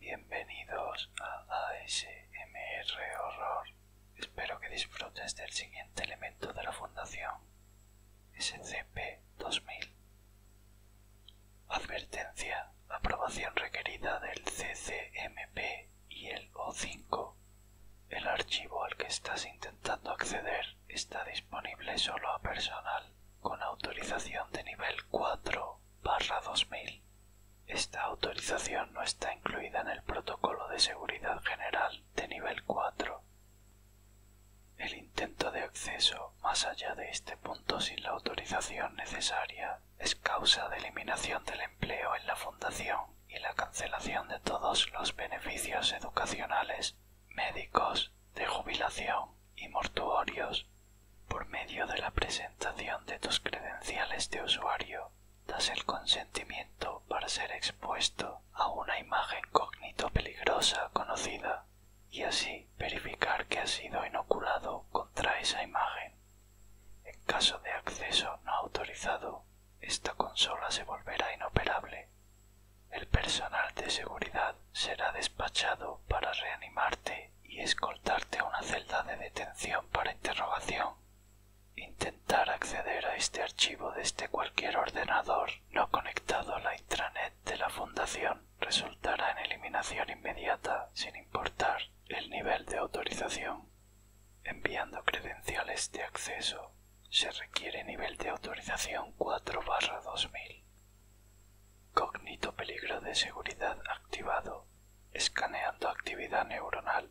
Bienvenidos a ASMR Horror. Espero que disfrutes del siguiente elemento de la Fundación, SCP-2000. Advertencia, aprobación requerida del CCMP y el O5 el archivo al que estás intentando acceder está disponible solo a personal con autorización de nivel 4-2000. Esta autorización no está incluida en el protocolo de seguridad general de nivel 4. El intento de acceso más allá de este punto sin la autorización necesaria es causa de eliminación del empleo en la fundación y la cancelación de todos los beneficios educacionales, médicos, de jubilación y mortuorios por medio de la presentación de tus credenciales de usuario, das el consentimiento para ser expuesto a una imagen cognito peligrosa conocida y así verificar que has sido inoculado contra esa imagen. En caso de acceso no autorizado, esta consola se volverá inoperable el personal de seguridad será despachado para reanimarte y escoltarte a una celda de detención para interrogación. Intentar acceder a este archivo desde cualquier ordenador no conectado a la intranet de la Fundación resultará en eliminación inmediata sin importar el nivel de autorización. Enviando credenciales de acceso se requiere nivel de autorización 4-2000. Cognito peligro de seguridad activado. Escaneando actividad neuronal.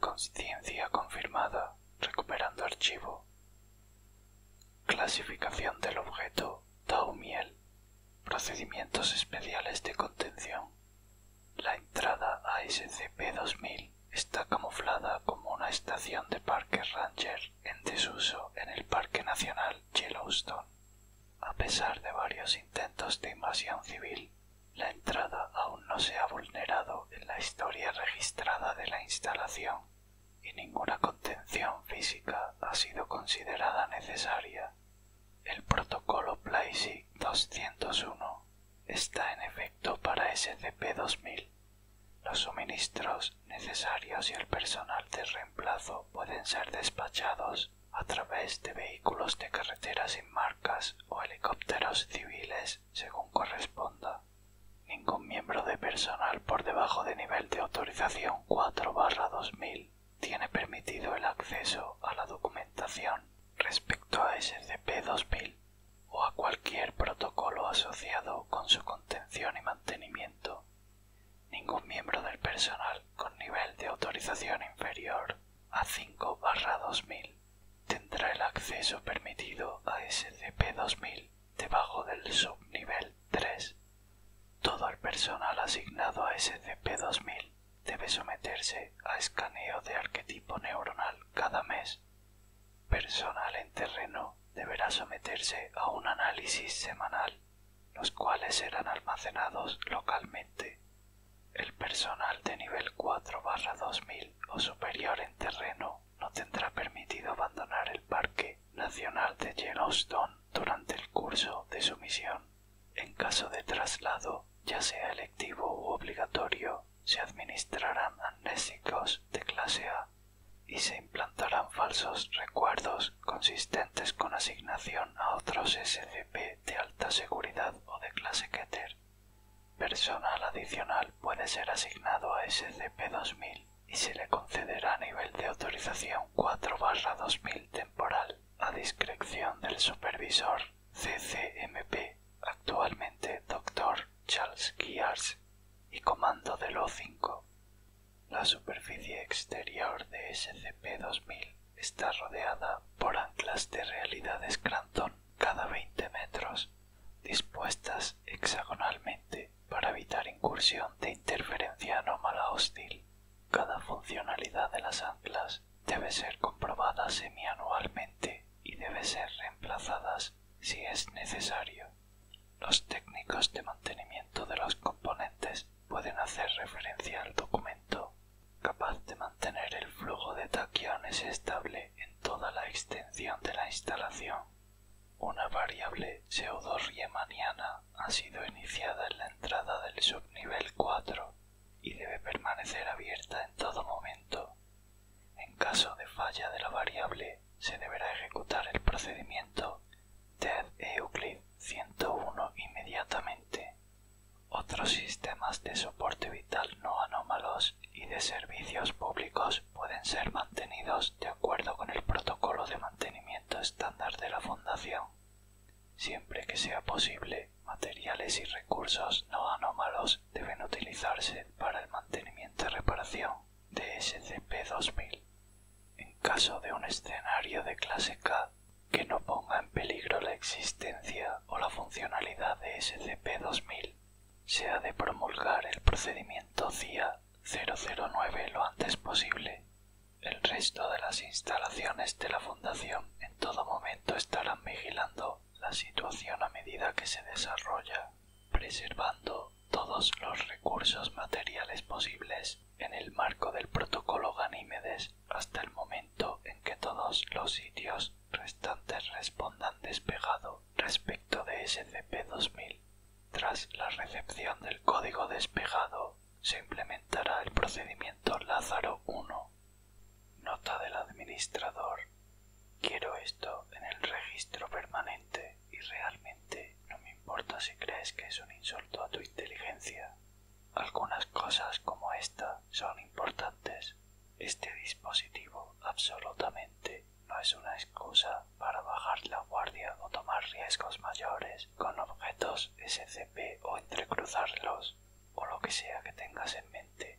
Consciencia confirmada. Recuperando archivo. Clasificación del objeto. Tau miel. Procedimientos especiales de contención. La entrada a SCP-2000 está camuflada como una estación de parque Ranger en desuso en el Parque Nacional Yellowstone. A pesar de varios intentos de invasión civil, la entrada aún no se ha vulnerado en la historia registrada de la instalación y ninguna contención física ha sido considerada necesaria. El protocolo doscientos 201 está en efecto para SCP-2000 los suministros necesarios y el personal de reemplazo pueden ser despachados a través de vehículos de carretera sin marcas o helicópteros civiles según corresponda. Ningún miembro de personal por debajo de nivel de autorización 4-2000 tiene permitido el acceso a la documentación respecto a SCP-2000 o a cualquier protocolo asociado con su contención y mantenimiento, ningún miembro del personal con nivel de autorización inferior a 5-2000 tendrá el acceso permitido a SCP-2000 debajo del subnivel 3. Todo el personal asignado a SCP-2000 debe someterse a escaneo de arquetipo neuronal cada mes personal en terreno deberá someterse a un análisis semanal, los cuales serán almacenados localmente. El personal de nivel 4-2000 o superior en terreno no tendrá permitido abandonar el Parque Nacional de Yellowstone durante el curso de su misión. En caso de traslado, ya sea electivo u obligatorio, se administrarán amnésicos de clase A y se implantarán falsos recuerdos consistentes con asignación a otros SCP de alta seguridad o de clase Keter. Personal adicional puede ser asignado a SCP-2000 y se le concederá nivel de autorización 4-2000 temporal a discreción del supervisor CCMP, actualmente Dr. Charles y comando de los 5 La superficie exterior de SCP-2000 está rodeada por anclas de realidad Cranton cada 20 metros, dispuestas hexagonalmente para evitar incursión de interferencia anómala hostil. Cada funcionalidad de las anclas debe ser comprobada semianualmente y debe ser reemplazadas si es necesario. Los técnicos de mantenimiento de los componentes pueden hacer referencia al documento, capaz de mantener el flujo de taquiones estable en toda la extensión de la instalación. Una variable pseudo-riemanniana ha sido iniciada en la entrada del subnivel 4 y debe permanecer abierta en todo momento. En caso de falla de la variable, se deberá ejecutar el procedimiento TED Euclid 101 inmediatamente. Otros sistemas de soporte vital no anómalos y de servicios públicos pueden ser mantenidos de acuerdo con el protocolo de mantenimiento estándar de la Fundación, siempre que sea posible materiales y recursos no anómalos deben utilizarse para el mantenimiento y reparación de SCP-2000 en caso de un escenario de clase K que no ponga en peligro la existencia o la funcionalidad de SCP-2000, se ha de promulgar el procedimiento CIA 009 lo antes posible. El resto de las instalaciones de la Fundación en todo momento estarán vigilando la situación a medida que se desarrolla preservando todos los recursos materiales posibles en el marco del protocolo Ganímedes hasta el momento en que todos los sitios restantes respondan despejado respecto de SCP-2000. Tras la recepción del código despejado, se implementará el procedimiento Lázaro I. Nota del administrador. Quiero esto en el registro permanente y realmente no me importa si crees que es un insulto a tu inteligencia. Algunas cosas como esta son importantes. Este dispositivo absolutamente no es una excusa para bajar la guardia o tomar riesgos mayores con objetos SCP o entrecruzarlos o lo que sea que tengas en mente.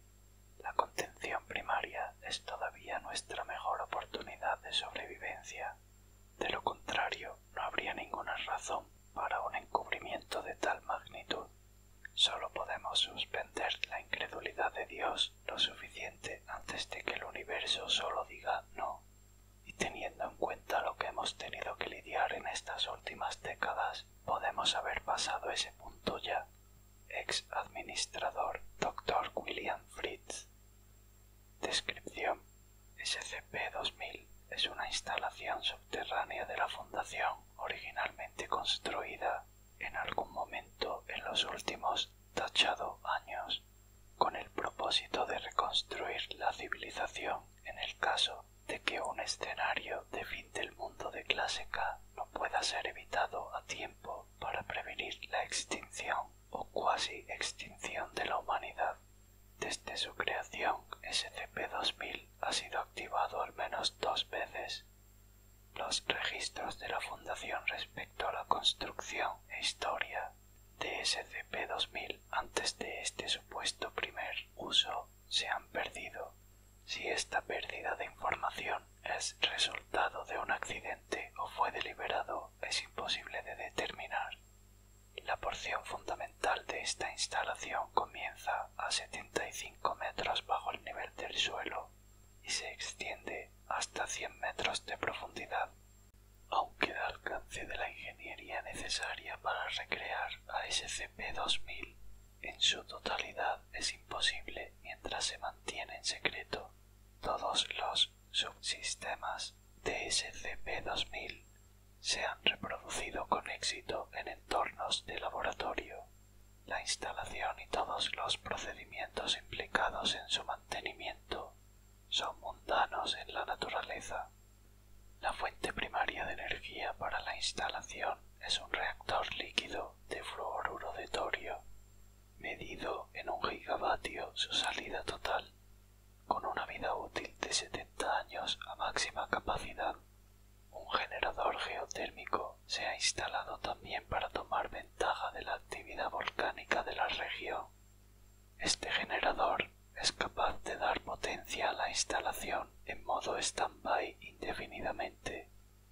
La contención primaria es todavía nuestra mejor oportunidad de sobrevivencia. De lo contrario, no habría ninguna razón para un encubrimiento de tal magnitud. Solo podemos suspender la incredulidad de Dios lo suficiente antes de que el universo solo diga no. Y teniendo en cuenta lo que hemos tenido que lidiar en estas últimas décadas, podemos haber pasado ese punto ya. Ex administrador doctor William Fritz Descripción. SCP-2000 es una instalación subterránea de la Fundación originalmente construida en algún momento en los últimos tachado años con el propósito de reconstruir la civilización en el caso de que un escenario de fin del mundo de clase K no pueda ser evitado a tiempo para prevenir la extinción o cuasi extinción de la humanidad. Desde su creación, SCP-2000 ha sido activado al menos dos veces. Los registros de la Fundación respecto a la construcción e historia de SCP-2000 antes de este supuesto primer uso se han perdido. Si esta pérdida de información es resultado de un accidente o fue deliberado es imposible de determinar. La porción fundamental de esta instalación comienza a 75 metros bajo el nivel del suelo y se extiende hasta 100 metros de profundidad. Aunque da alcance de la ingeniería necesaria para recrear a SCP-2000 en su totalidad es imposible mientras se mantiene en secreto todos los subsistemas de SCP-2000 se han reproducido con éxito en entornos de laboratorio. La instalación y todos los procedimientos implicados en su mantenimiento son mundanos en la naturaleza. La fuente primaria de energía para la instalación es un reactor líquido de fluoruro de torio medido en un gigavatio su salida total, con una vida útil de 70 años a máxima capacidad. Un generador geotérmico se ha instalado también para tomar ventaja de la actividad volcánica de la región. Este generador es capaz de dar potencia a la instalación en modo stand-by indefinidamente.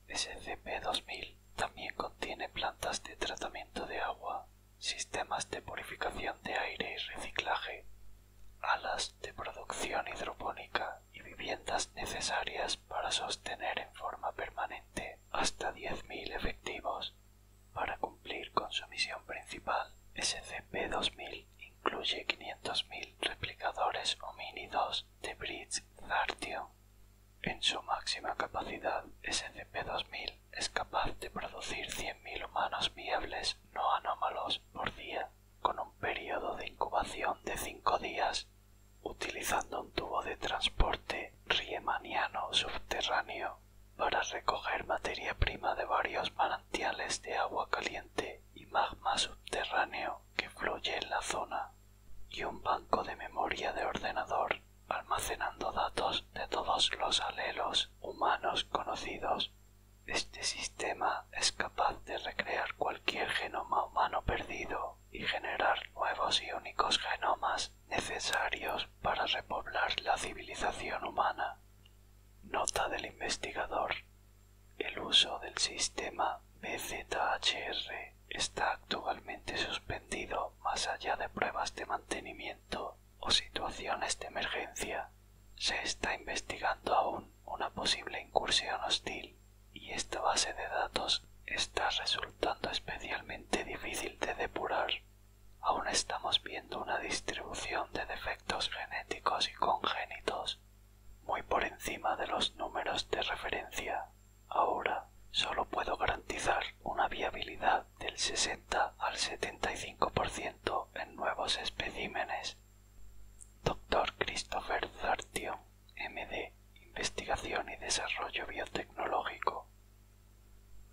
SCP-2000 también contiene plantas de tratamiento de agua sistemas de purificación de aire y reciclaje, alas de producción hidropónica y viviendas necesarias para sostener en forma permanente hasta mil efectivos. Para cumplir con su misión principal, SCP-2000 incluye 500.000 replicadores homínidos de Bridge en su máxima capacidad, SCP-2000 es capaz de producir 100.000 humanos viables no anómalos por día, con un periodo de incubación de cinco días, utilizando un tubo de transporte riemanniano subterráneo para recoger materia prima de varios manantiales de agua caliente y magma subterráneo que fluye en la zona, y un banco de memoria de ordenador almacenando datos de todos los alelos humanos conocidos. Este sistema es capaz de recrear cualquier genoma humano perdido y generar nuevos y únicos genomas necesarios para repoblar la civilización humana. Nota del investigador. El uso del sistema BZHR está actualmente suspendido más allá de pruebas de mantenimiento o situaciones de emergencia, se está investigando aún una posible incursión hostil y esta base de datos está resultando especialmente difícil de depurar. Aún estamos viendo una distribución de defectos genéticos y congénitos muy por encima de los números de referencia. Ahora solo puedo garantizar una viabilidad del 60 al 75% en nuevos especímenes. Dr. Christopher Zartion, MD, Investigación y Desarrollo Biotecnológico.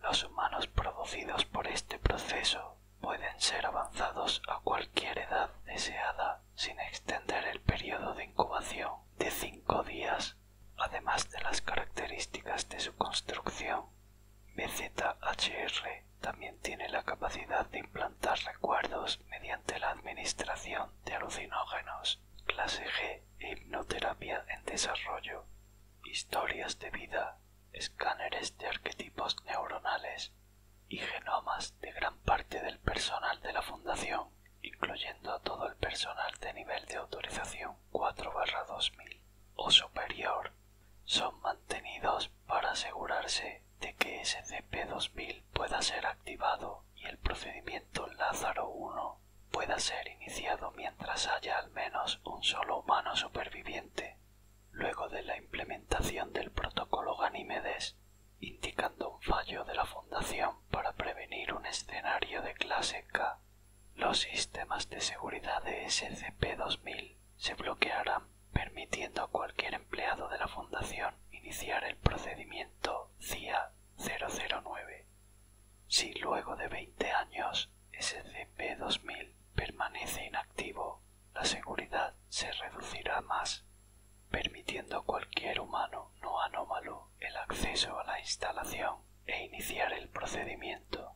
Los humanos producidos por este proceso pueden ser avanzados a cualquier edad deseada sin extender el período de incubación de 5 días además de las características de su construcción. BZHR también tiene la capacidad de implantar recuerdos mediante la administración de alucinógenos, clase G e hipnoterapia en desarrollo, historias de vida, escáneres de arquetipos neuronales y genomas de gran parte del personal de la fundación, incluyendo a todo el personal de nivel de autorización. 4 2000 o superior son mantenidos para asegurarse de que SCP-2000 pueda ser activado y el procedimiento Lázaro 1 pueda ser iniciado mientras haya al menos un solo humano superviviente, luego de la implementación del protocolo Ganímedes, indicando un fallo de la Fundación para prevenir un escenario de clase K los sistemas de seguridad de SCP-2000 se bloquearán, permitiendo a cualquier empleado de la Fundación iniciar el procedimiento CIA-009. Si luego de veinte años SCP-2000 permanece inactivo, la seguridad se reducirá más, permitiendo a cualquier humano no anómalo el acceso a la instalación e iniciar el procedimiento.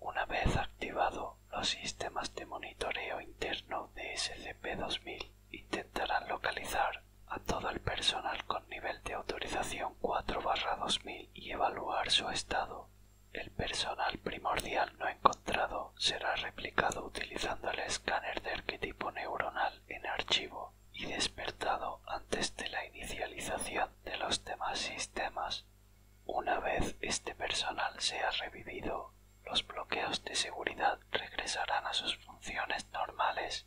Una vez activado, los sistemas de monitoreo interno de SCP-2000 intentarán localizar a todo el personal con nivel de autorización 4-2000 y evaluar su estado. El personal primordial no encontrado será replicado utilizando el escáner de arquetipo neuronal en archivo y despertado antes de la inicialización de los demás sistemas. Una vez este personal sea revivido, los bloqueos de seguridad regresarán a sus funciones normales.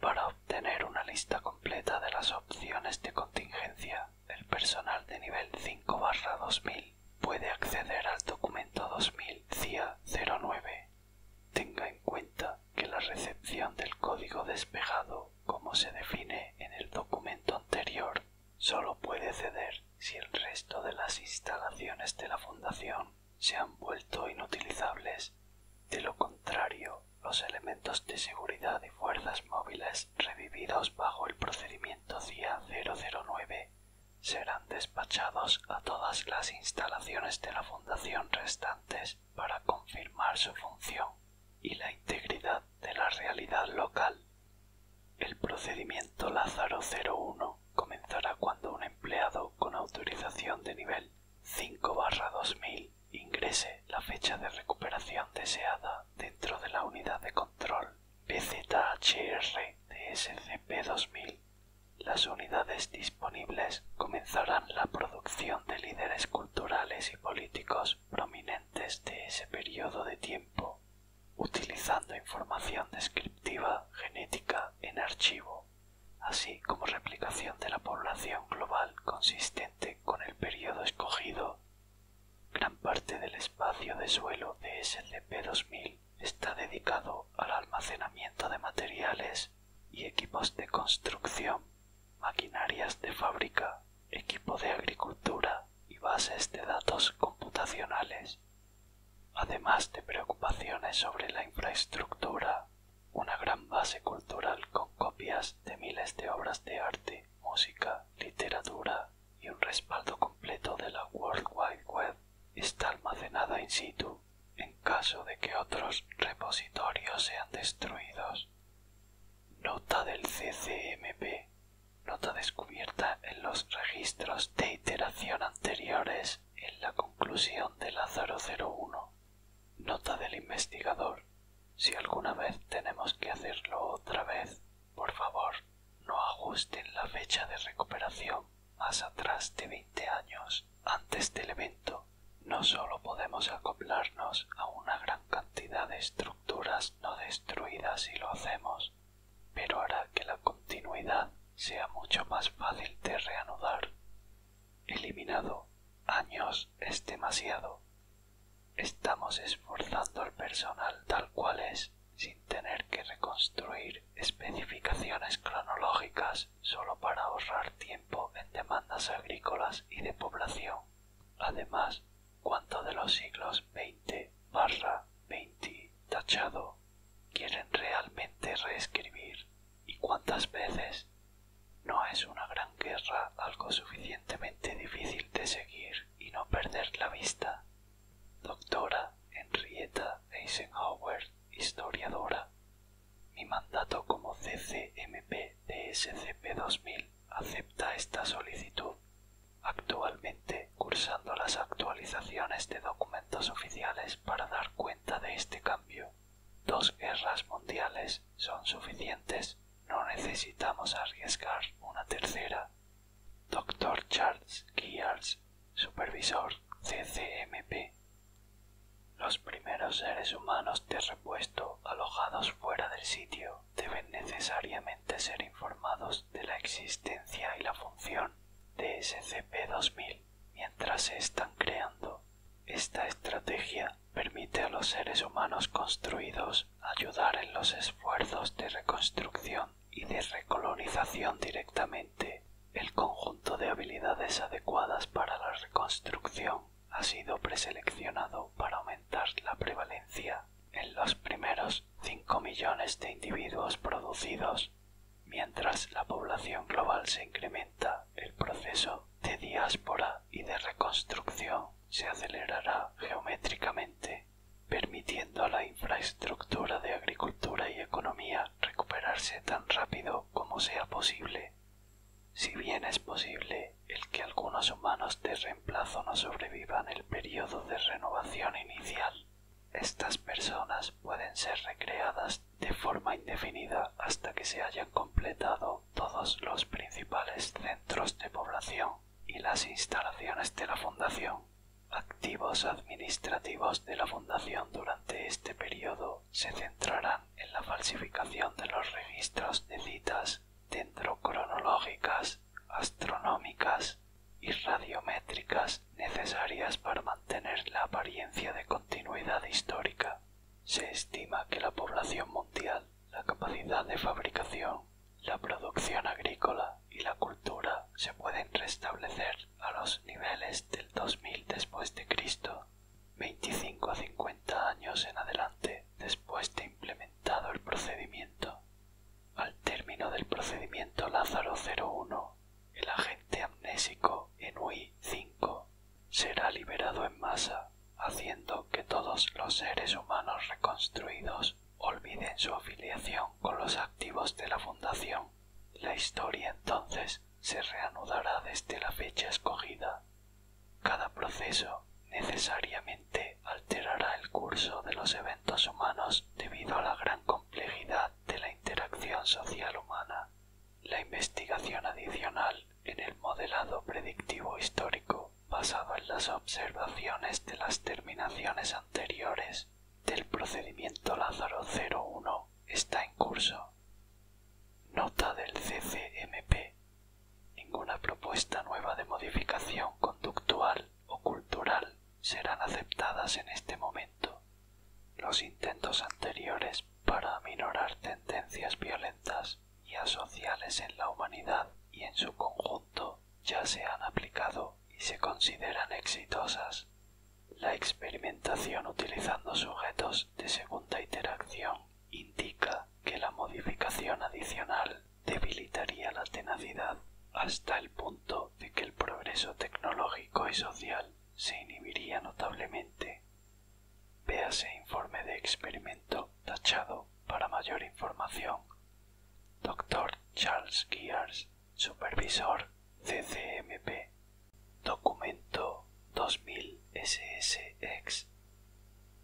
Para obtener una lista completa de las opciones de contingencia, el personal de nivel 5-2000 puede acceder al documento 2000 CIA 09. Tenga en cuenta que la recepción del código despejado como se define en el documento anterior, solo puede ceder si el resto de las instalaciones de la fundación se han vuelto inutilizables. De lo contrario, los elementos de seguridad y fuerzas móviles revividos bajo el procedimiento CIA 009 serán despachados a todas las instalaciones de la fundación restantes para confirmar su función y la integridad de la realidad local. El procedimiento Lázaro 01 comenzará cuando un empleado con autorización de nivel 5-2000 ingrese la fecha de recuperación deseada dentro de la unidad de control PZHR de SCP-2000. Las unidades disponibles comenzarán la producción de líderes culturales y políticos prominentes de ese periodo de tiempo, utilizando información descriptiva genética en archivo, así como replicación de la población global consistente con el periodo escogido. Gran parte del espacio de suelo de slp 2000 está dedicado al almacenamiento de materiales y equipos de construcción maquinarias de fábrica, equipo de agricultura y bases de datos computacionales, además de preocupaciones sobre la infraestructura, una gran base cultural con copias de miles de obras de arte, música, literatura y un respaldo completo de la World Wide Web está almacenada in situ en caso de que otros repositorios sean destruidos. Nota del CCMP. Nota descubierta en los registros de iteración anteriores en la conclusión de la 001. Nota del investigador. Si alguna vez tenemos que hacerlo otra vez, por favor, no ajusten la fecha de recuperación más atrás de veinte años antes del evento. No solo podemos acoplarnos a una gran cantidad de no destruidas si lo hacemos, pero hará que la continuidad sea mucho más fácil de reanudar. Eliminado años es demasiado. Estamos esforzando al personal tal cual es sin tener que reconstruir especificaciones cronológicas solo para ahorrar tiempo en demandas agrícolas y de población. Además, ¿Cuánto de los siglos 20 barra 20 tachado quieren realmente reescribir y cuántas veces no es una gran guerra algo suficientemente difícil de seguir y no perder la vista? Doctora Henrietta Eisenhower, historiadora. Mi mandato como CCMP de SCP 2000 acepta esta solicitud, actualmente cursando las actualizaciones de documentos oficiales para dar cuenta de este cambio. Dos guerras mundiales son suficientes, no necesitamos arriesgar una tercera. doctor Charles Gears, supervisor CCMP. Los primeros seres humanos de repuesto alojados fuera del sitio deben necesariamente ser informados de la existencia y la función de SCP-2000 mientras se están creando. Esta estrategia permite a los seres humanos construidos ayudar en los esfuerzos de reconstrucción y de recolonización directamente. El conjunto de habilidades adecuadas para la reconstrucción ha sido preseleccionado para aumentar la prevalencia en los primeros cinco millones de individuos producidos, mientras la población global se incrementa, el proceso de diáspora y de reconstrucción se acelerará geométricamente, permitiendo a la infraestructura de agricultura y economía recuperarse tan rápido como sea posible. Si bien es posible el que algunos humanos de reemplazo no sobrevivan el periodo de renovación inicial. Estas personas pueden ser recreadas de forma indefinida hasta que se hayan completado todos los principales centros de población y las instalaciones de la Fundación. Activos administrativos de la Fundación durante este periodo se centrarán en la falsificación de los registros de citas cronológicas astronómicas y radiométricas necesarias para mantener la apariencia de continuidad histórica. Se estima que la población mundial, la capacidad de fabricación, la producción agrícola y la cultura se pueden restablecer a los niveles del 2000 después de Cristo, 25 a 50 años en adelante después de implementar el procedimiento. Al término del procedimiento Lázaro 01, el agente amnésico Enui 5 será liberado en masa, haciendo que todos los seres humanos reconstruidos olviden su afiliación con los activos de la Fundación. La historia entonces se reanudará desde la fecha escogida. Cada proceso necesariamente alterará el curso de los eventos humanos debido a la gran complejidad de la interacción social humana. La investigación adicional en el modelado predictivo histórico basado en las observaciones de las terminaciones anteriores del procedimiento Lázaro 01 está en curso. Nota del CCMP. Ninguna propuesta nueva de modificación conductual o cultural serán aceptadas en este momento. Los intentos anteriores para aminorar tendencias violentas y asociales en la humanidad y en su conjunto ya se han aplicado y se consideran exitosas. La experimentación utilizando sujetos de segunda interacción indica que la modificación adicional debilitaría la tenacidad hasta el punto de que el progreso tecnológico y social se inhibiría notablemente. Véase informe de experimento tachado para mayor información. Dr. Charles Gears, supervisor CCMP. Documento 2000 SSX.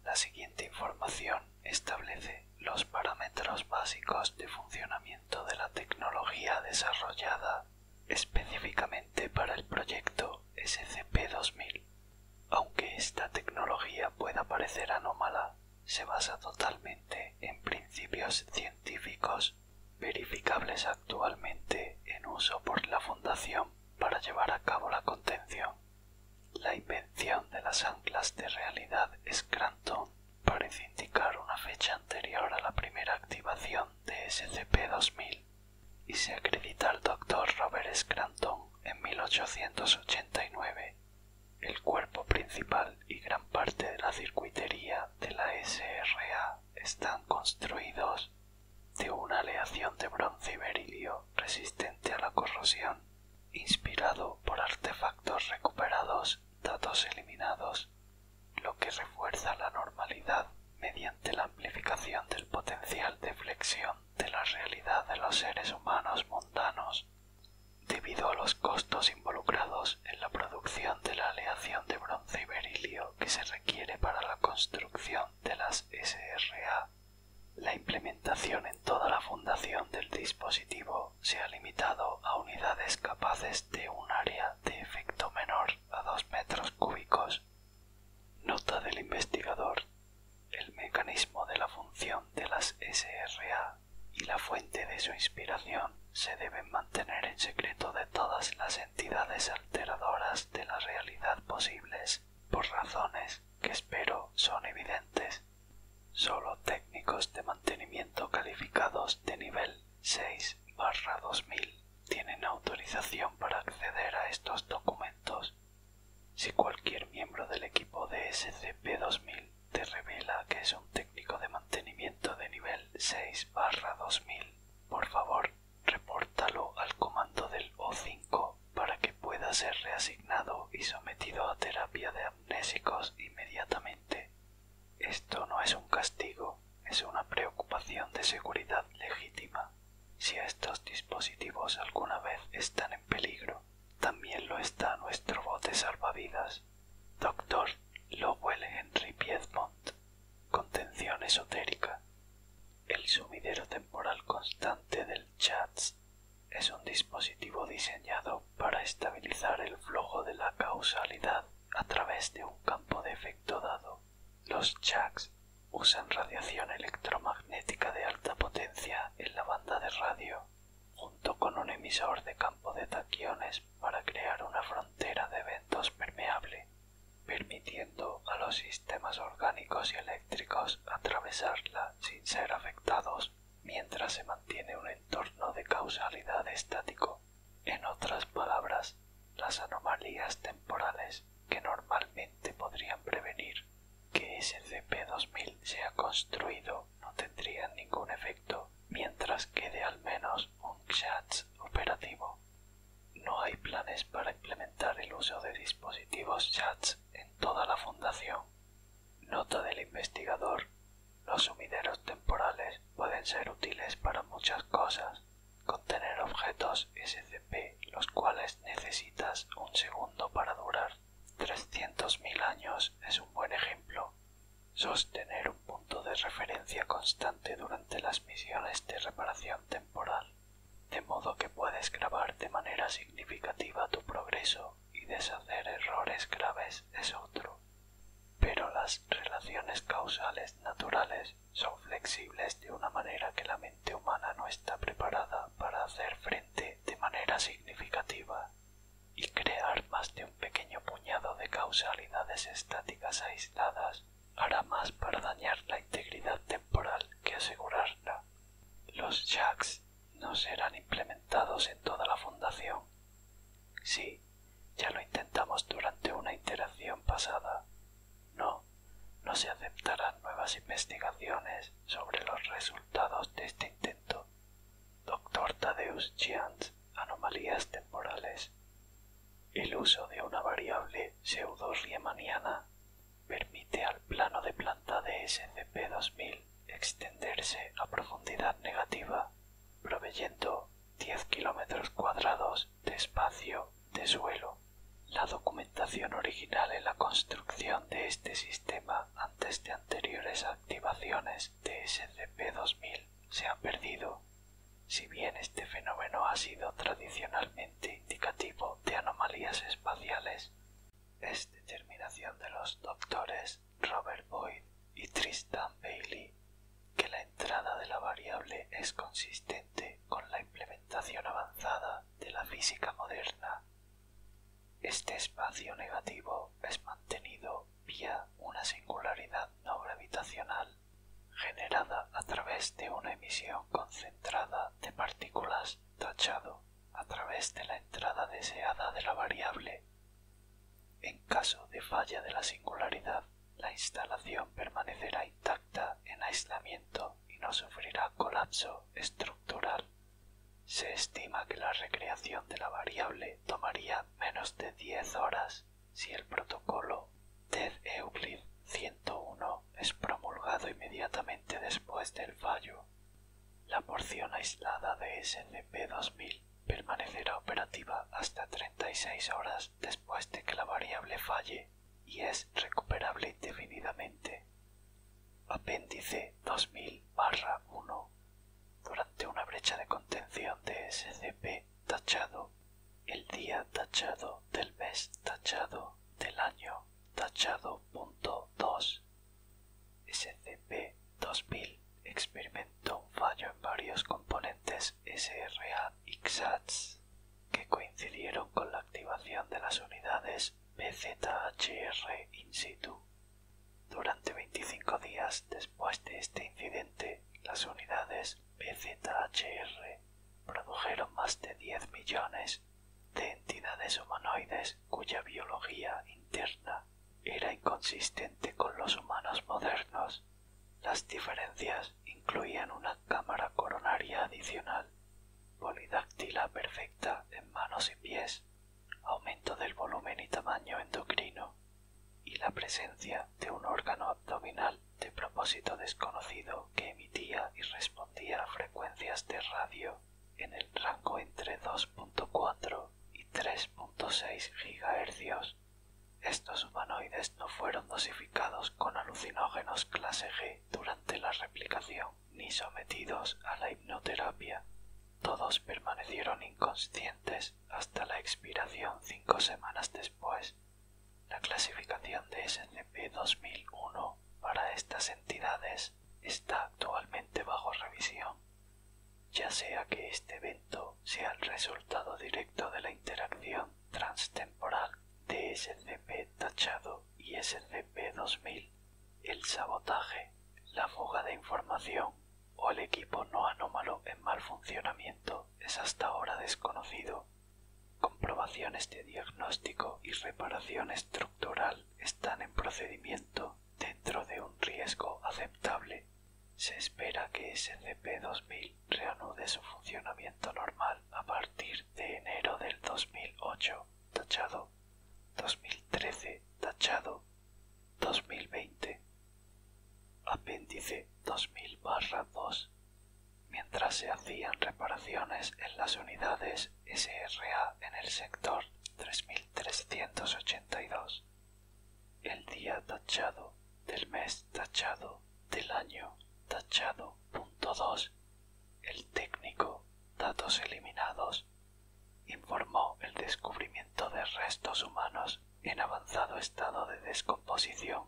La siguiente información establece los parámetros básicos de funcionamiento de la tecnología desarrollada específicamente para el proyecto SCP-2000. Aunque esta tecnología pueda parecer anómala, se basa totalmente en principios científicos verificables actualmente en uso por la Fundación para llevar a cabo la contención la invención de las anclas de realidad Scranton parece indicar una fecha anterior a la primera activación de SCP-2000 y se acredita al doctor Robert Scranton en 1889. El cuerpo principal y gran parte de la circuitería de la SRA están construidos de una aleación de bronce y berilio resistente a la corrosión inspirado por artefactos recuperados, datos eliminados, lo que refuerza la normalidad mediante la amplificación del potencial de flexión de la realidad de los seres humanos mundanos. Debido a los costos involucrados en la producción de la aleación de bronce y berilio que se requiere para la construcción de las SRA, la implementación toda la fundación del dispositivo se ha limitado a unidades capaces de un área de efecto menor a dos metros cúbicos. Nota del investigador. El mecanismo de la función de las SRA y la fuente de su inspiración se deben mantener en secreto de todas las entidades alteradoras de la realidad posibles, por razones que espero son evidentes. Solo técnicos de mantenimiento calificados de nivel 6-2000 tienen autorización para acceder a estos documentos. Si cualquier miembro del equipo de SCP-2000 te revela que es un técnico de mantenimiento de nivel 6-2000, por favor, repórtalo al comando del O5 para que pueda ser reasignado y sometido a terapia de inmediatamente. Esto no es un castigo, es una preocupación de seguridad legítima. Si estos dispositivos alguna vez están en peligro, también lo está nuestro bote salvavidas. Doctor lo Lowell Henry Piedmont. Contención esotérica. El sumidero temporal constante del es un dispositivo diseñado para estabilizar el flujo de la causalidad a través de un campo de efecto dado. Los Chaks usan radiación electromagnética de alta potencia en la banda de radio, junto con un emisor de campo de taquiones para crear una frontera de eventos permeable, permitiendo a los sistemas orgánicos y eléctricos atravesarla sin ser afectados mientras se mantiene un entorno de causalidad estático. En otras palabras, las anomalías temporales que normalmente podrían prevenir que SCP-2000 sea construido no tendrían ningún efecto mientras quede al menos un CHATS operativo. No hay planes para implementar el uso de dispositivos CHATS en toda la fundación. Nota del investigador. Los sumideros temporales pueden ser útiles para muchas cosas, contener objetos SCP los cuales necesitas un segundo para durar. mil años es un buen ejemplo. Sostener un punto de referencia constante durante las misiones de reparación temporal, de modo que puedes grabar de manera significativa tu progreso y deshacer errores graves es otro. Pero las relaciones causales naturales son flexibles de una manera que la mente humana no está preparada para hacer frente de manera significativa y crear más de un pequeño puñado de causalidades estáticas aisladas hará más para dañar la integridad temporal que asegurarla. Los jacks no serán implementados en toda la fundación. Sí, ya lo intentamos durante una iteración pasada. No, no se aceptarán nuevas investigaciones sobre los resultados de este intento. Doctor Tadeus Giant, anomalías temporales. El uso de una variable pseudo-riemanniana permite al plano de planta de SCP-2000 extenderse a profundidad negativa, proveyendo 10 kilómetros cuadrados de espacio de suelo. La documentación original en la construcción de este sistema antes de anteriores activaciones de SCP-2000 se ha perdido. Si bien este fenómeno ha sido tradicionalmente indicativo de anomalías espaciales, es determinación de los doctores Robert Boyd y Tristan Bailey que la entrada de la variable es consistente con la implementación avanzada de la física moderna. Este espacio negativo es mantenido vía una singularidad no gravitacional generada a través de una emisión concentrada de partículas tachado a través de la entrada deseada de la variable en caso de falla de la singularidad, la instalación permanecerá intacta en aislamiento y no sufrirá colapso estructural. Se estima que la recreación de la variable tomaría menos de diez horas si el protocolo TED Euclid 101 es promulgado inmediatamente después del fallo. La porción aislada de SCP-2000 permanecerá operativa hasta 36 horas después de que la variable falle y es recuperable indefinidamente. Apéndice 2000-1 Durante una brecha de contención de SCP tachado, el día tachado del mes tachado del año tachado SCP-2000 experimentó un fallo en varios componentes SRA que coincidieron con la activación de las unidades PZHR in situ. Durante 25 días después de este incidente, las unidades PZHR produjeron más de 10 millones de entidades humanoides cuya biología interna era inconsistente con los humanos modernos. Las diferencias incluían una cámara coronaria adicional, polidáctila perfecta en manos y pies, aumento del volumen y tamaño endocrino, y la presencia de un órgano abdominal de propósito desconocido que emitía y respondía a frecuencias de radio en el rango entre y 3.6 GHz. Estos humanoides no fueron dosificados con alucinógenos clase G durante la replicación ni sometidos a la hipnoterapia. Todos permanecieron inconscientes hasta la expiración cinco semanas después. La clasificación de SCP-2001 para estas entidades está actualmente bajo revisión ya sea que este evento sea el resultado directo de la interacción transtemporal de SCP tachado y SCP-2000, el sabotaje, la fuga de información o el equipo no anómalo en mal funcionamiento es hasta ahora desconocido. Comprobaciones de diagnóstico y reparación estructural están en procedimiento dentro de un riesgo aceptable se espera que SCP-2000 reanude su funcionamiento normal a partir de enero del 2008, tachado, 2013, tachado, 2020. Apéndice 2000-2. Mientras se hacían reparaciones en las unidades SRA en el sector 3382, el día tachado del mes tachado del año tachado punto el técnico datos eliminados informó el descubrimiento de restos humanos en avanzado estado de descomposición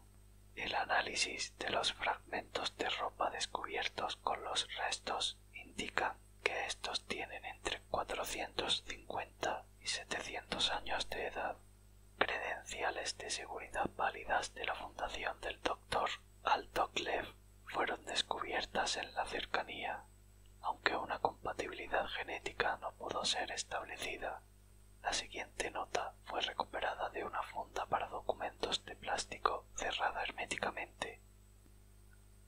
el análisis de los fragmentos de ropa descubiertos con los restos indica que estos tienen entre 450 y setecientos años de edad, credenciales de seguridad válidas de la fundación del doctor Altoclef fueron descubiertas en la cercanía, aunque una compatibilidad genética no pudo ser establecida. La siguiente nota fue recuperada de una funda para documentos de plástico cerrada herméticamente.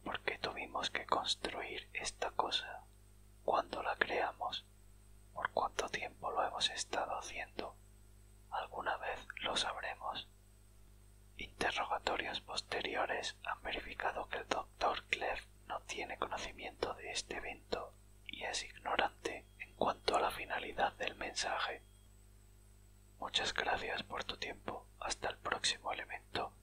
¿Por qué tuvimos que construir esta cosa? Cuando la creamos, por cuánto tiempo lo hemos estado haciendo. Alguna vez lo sabremos. Interrogatorios posteriores han verificado que el doctor Clef no tiene conocimiento de este evento y es ignorante en cuanto a la finalidad del mensaje. Muchas gracias por tu tiempo. Hasta el próximo elemento.